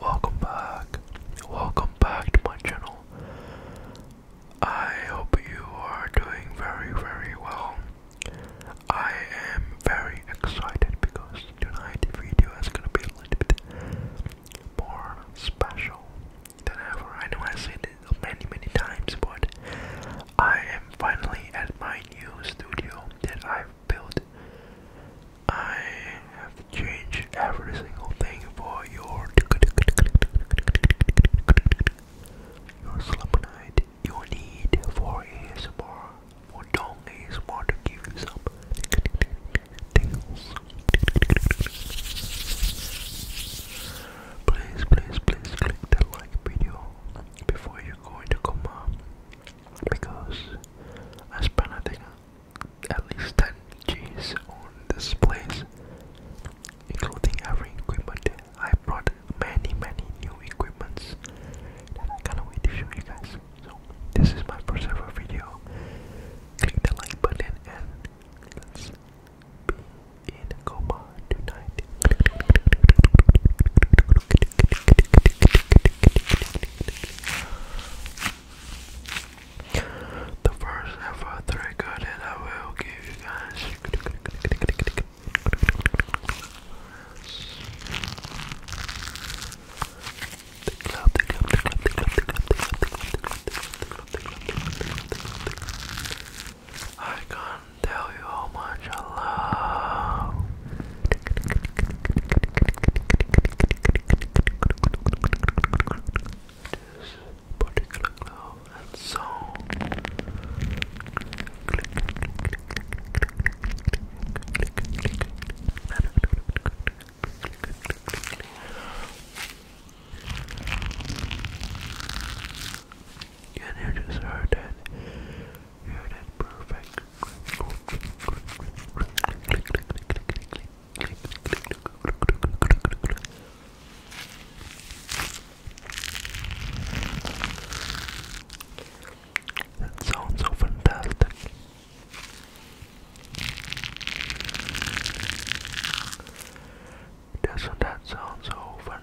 Welcome back. Welcome back to my channel. I hope you are doing very, very well. I am very excited because tonight's video is gonna be a little bit more special than ever. I know I said it many, many times, but I am finally at my new studio that I've built. I have changed every single thing for your your night. you need for ASMR for dong ASMR to give you some tingles. Please, please, please click the like video before you are go into coma because I spent at least 10 G's on this place including every equipment. I brought many many new equipments that I cannot wait to show you guys. So this is my first ever video. Click the like button and let's be in a coma tonight. The first ever trigger that I will give you guys. I can't tell you how much I love. This particular glove and song. Can you just heard that? That sounds so fantastic. Doesn't that sound so fun?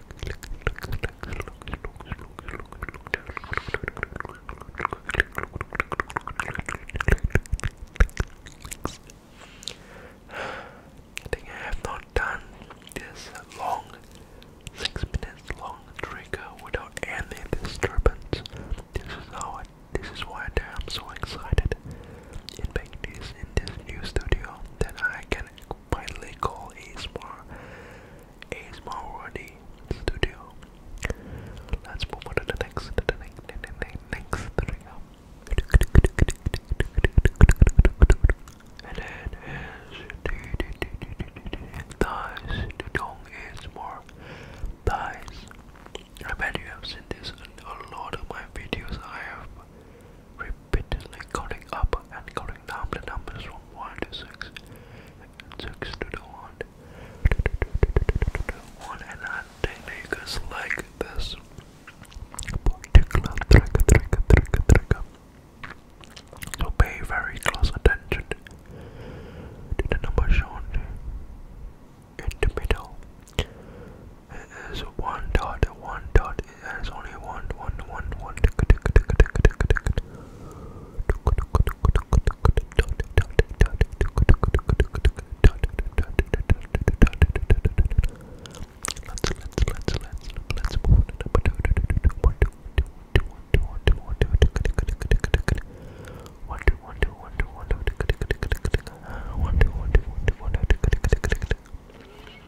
I think I have not done this long, six minutes long trigger without any disturbance. This is how I, this is why I'm so excited in making this in this new studio that I can can finally call ASMR ASMR Worthy Studio. Let's move on to the next, to the next, to the next, next trigger. And it is Dice. The dong is more Dice. I bet you have seen this in a lot of my videos. I have repeatedly calling up and calling down the numbers from 1 to 6 and 6 to the 1 1 and like this particular trigger trigger trigger trigger so pay very close attention to the number shown in the middle. It is one dot, one dot there's only one, one, one, one. Let's let's let's let's let's move it up.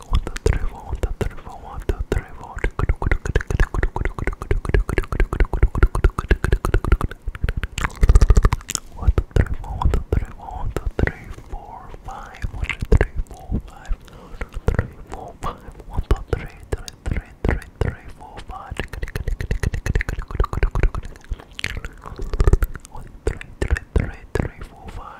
One, two, three, four. One, two, three, four. One, two, three, four. One, two, three, four. One, two, three, four. One, two, three, four, five. One, two, three, four, five. One, two, three, four, five. One, two, three, three, three, three, three, four, five. One, three, three, three, three, four, five. One, two, three, three, three, four, five.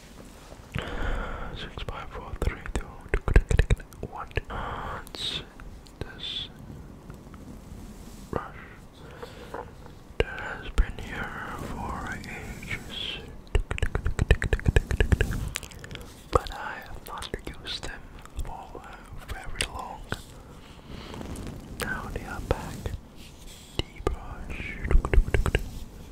Six, five, four, three, two, two, one. Let's this brush that has been here for ages, but I have not used them for very long. Now they are back. D brush.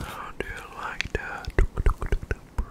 How do you like that? Brush, brush, brush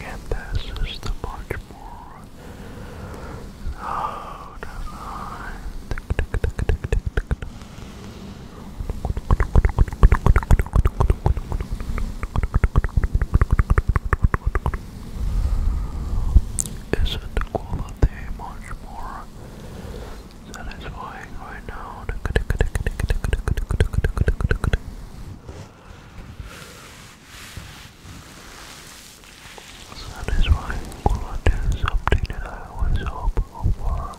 And this is the much more oh, design. Isn't quality much more satisfying right now? Satisfying quality is something that I always hope for.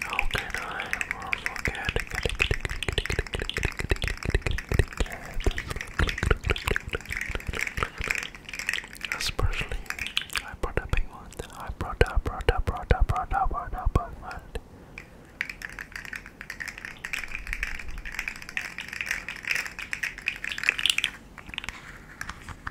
How can I forget? Especially, I brought a big one. I brought up, brought up, brought up, brought up, brought up, brought up.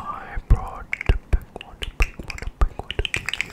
I brought the big one, the big one, the big one to give you.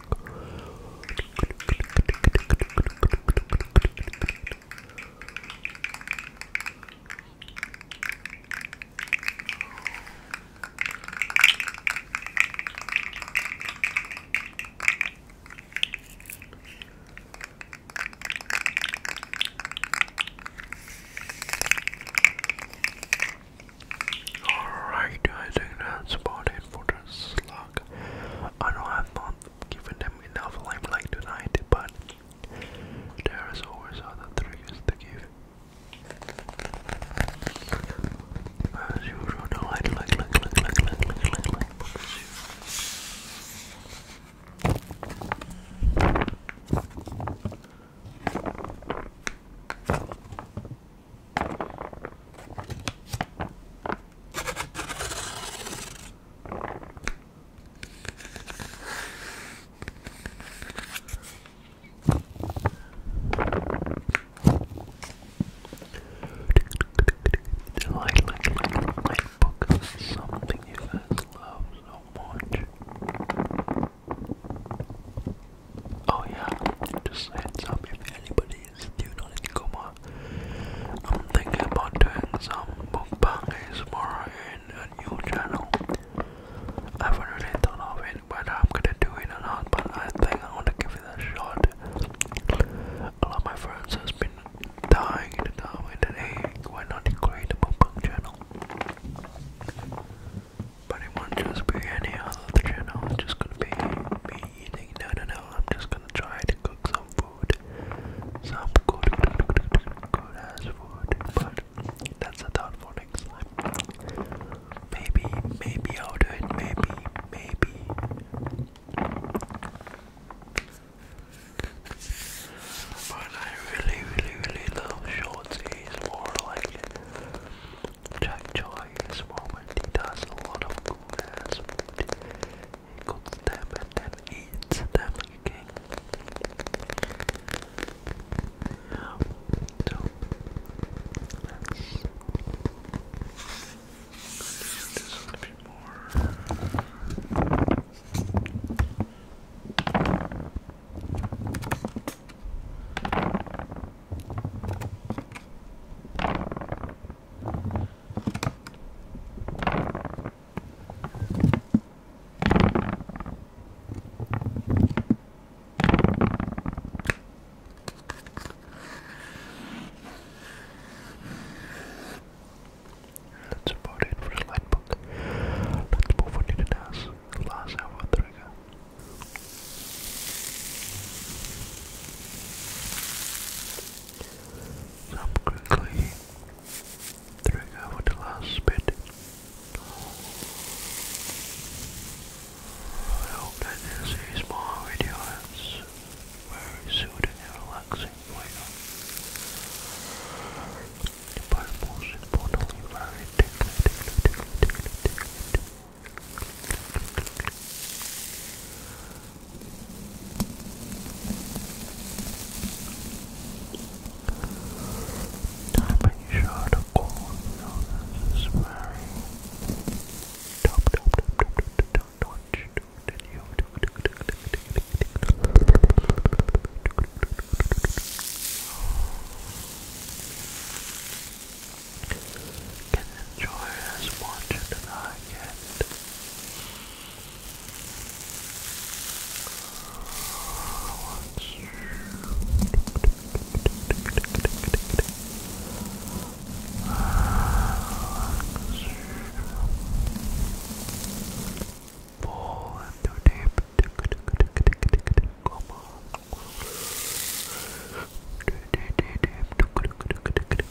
Alright, I think that's about it for this fuck. I know I've not Giving them enough limelight tonight, but there is always other things to give. As usual, the light, light, light, light, light, light, light, light, like, like, like, like book something you love so much. Oh yeah, just heads up if anybody still not coma. I'm thinking about doing some mukbang ASMR in a new channel. I haven't really thought of it whether I'm gonna do it or not, but I think I wanna give it a shot. A lot of my friends has been dying in the town and hey, why not create a mukbang channel? But it won't just be any other channel, it's just gonna be me no, no, no. I'm just gonna try to cook some food, some good, good, ass food. But that's a thought for next time. Maybe, maybe I'll do it. Maybe, maybe. But I really, really, really love shorts. more like Jack Joy this woman, he does a lot of goodness. He cooks them and then eats them again. Yeah. let's this a little bit more. That's about it for slide book. Let's move on to the task. last hour trigger. So I'm quickly triggering with the last bit. I hope that this is more video that's very soothing and relaxing for you. But most very tickly, Typing shot of corn, you know, this is very top, top, top, top, top, top notch. Then you can enjoy as much as I can. Fall into deep. Come on. Deep, deep, deep.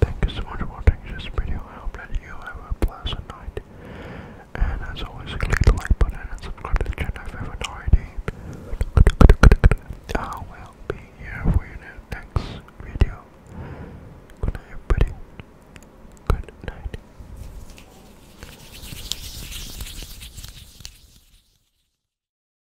Thank you so much for watching this video. I hope that you have a pleasant night. And as always, click the like button and subscribe to the channel if you haven't already. I will be here for you next video. Good night, everybody. Good night.